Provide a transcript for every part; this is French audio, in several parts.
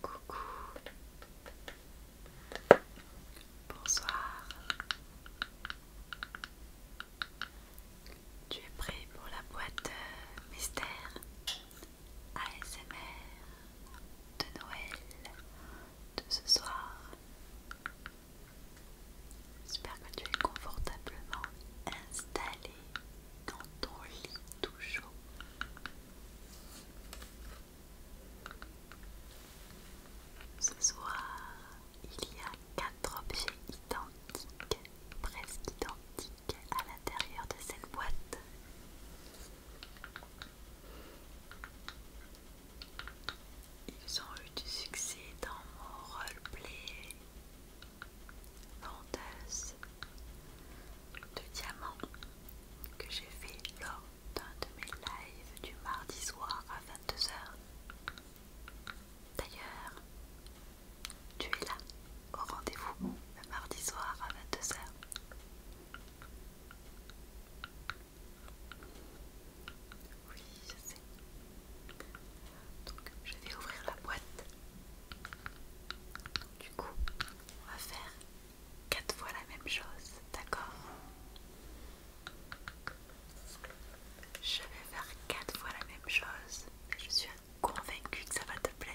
Coucou. Bonsoir. Tu es prêt pour la boîte euh, mystère ASMR de Noël de ce soir. J'espère que tu es confortablement installé dans ton lit tout chaud. Ce soir, il y a quatre objets identiques, presque identiques, à l'intérieur de cette boîte. Ils ont eu du succès dans mon roleplay Venteuse de diamants que j'ai fait lors d'un de mes lives du mardi soir à 22h. D'ailleurs, tu es là au rendez-vous le mardi soir à 22h. Oui, je sais. Donc je vais ouvrir la boîte. Du coup, on va faire quatre fois la même chose, d'accord Je vais faire quatre fois la même chose. Je suis convaincue que ça va te plaire.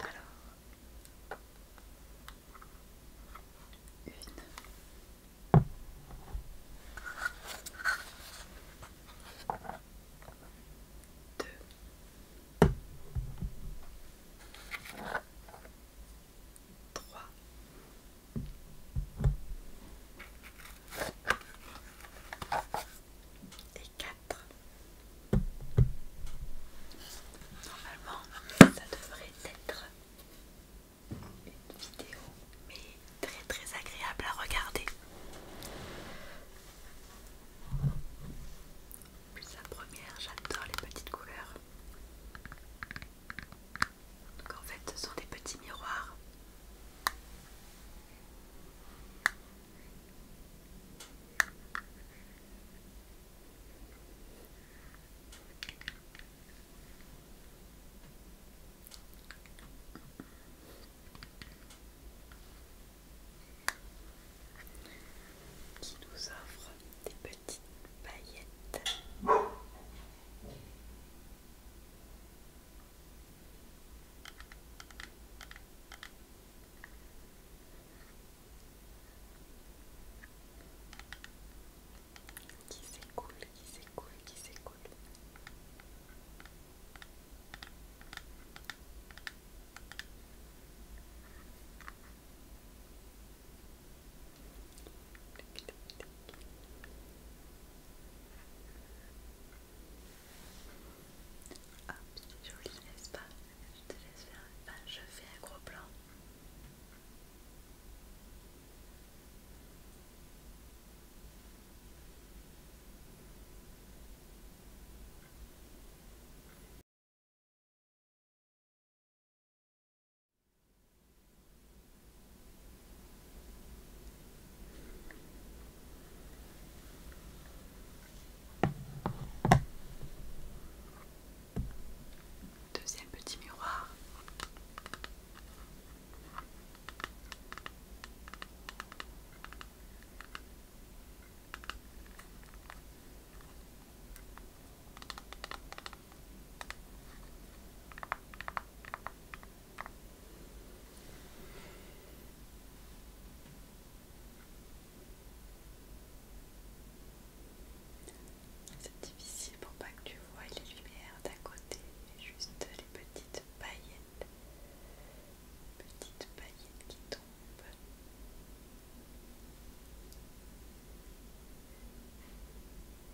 Alors, une. Deux. Trois. Et 4. Normalement, ça devrait être une vidéo, mais très très agréable à regarder. Plus la première, j'adore les petites couleurs. Donc en fait ce sont des petits miroirs. qui nous offrent des petites paillettes qui s'écoule, qui s'écoule, qui s'écoule. Ah, c'est joli, n'est-ce pas Je te laisse faire. Enfin, je fais un gros plan. Deuxième petit miroir. C'est difficile pour pas que tu vois les lumières d'à côté, mais juste les petites paillettes, petites paillettes qui tombent.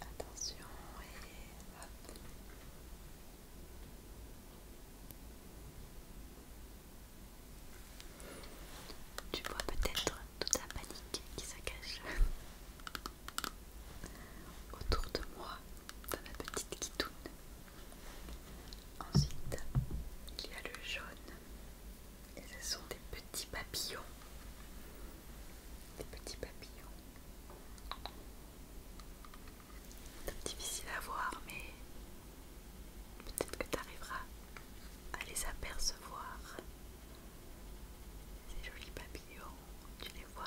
Attention et Tu vois peut-être toute la panique qui se cache autour de moi dans ma petite kitoune. Ensuite, il y a le jaune. Et ce sont des petits papillons. Des petits papillons. difficile à voir, mais peut-être que tu arriveras à les apercevoir. Ces jolis papillons, tu les vois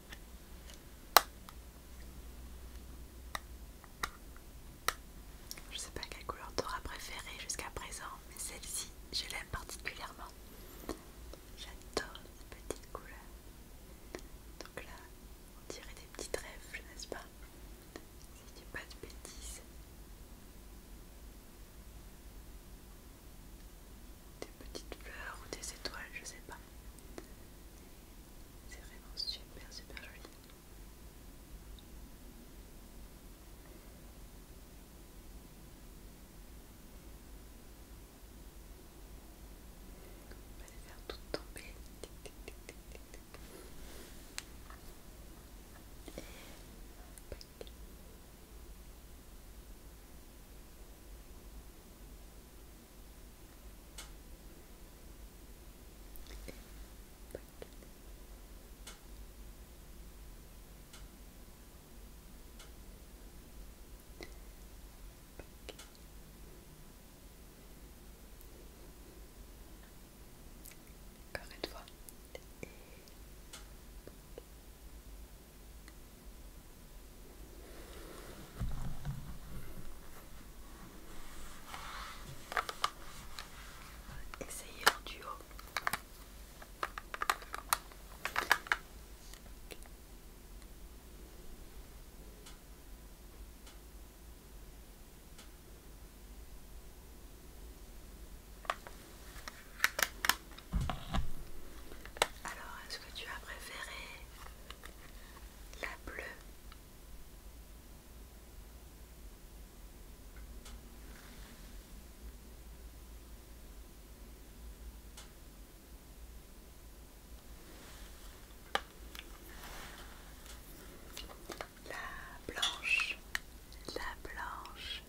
Je sais pas quelle couleur t'auras préférée jusqu'à présent, mais celle-ci, je l'aime particulièrement. J'adore cette petites couleurs. Donc là, on dirait des petits trèfles, n'est-ce pas Si tu pas de bêtises. Des petites fleurs ou des étoiles, je sais pas. C'est vraiment super super joli. On va les faire toutes tomber. Et... Encore une fois. Essayez en duo. Alors, est-ce que tu as préféré la bleue. La blanche, la blanche,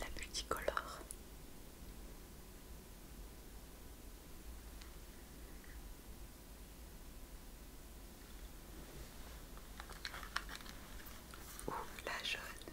la multicolore. Ou la jaune.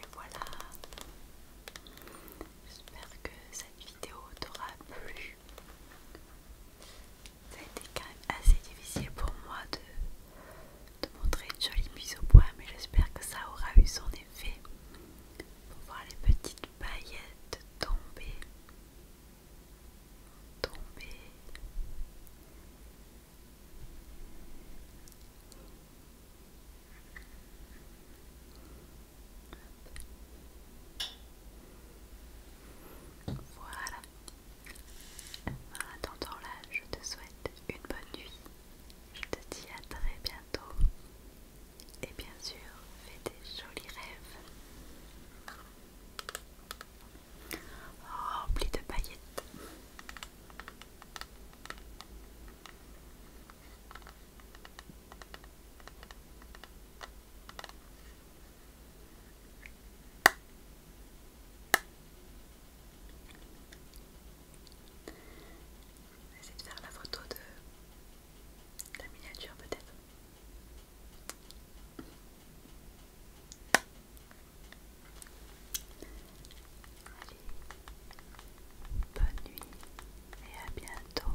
Et voilà. J'espère que cette vidéo t'aura plu. Ça a été quand même assez difficile pour moi de, montrer une jolie mise au point mais j'espère que ça aura eu son effet. Pour voir les petites paillettes tomber tomber voilà en attendant là je te souhaite une bonne nuit je te dis à très bientôt et bien sûr fais des jolis rêves rempli oh, de paillettes. Je vais de faire la photo de la miniature peut-être bonne nuit et à bientôt.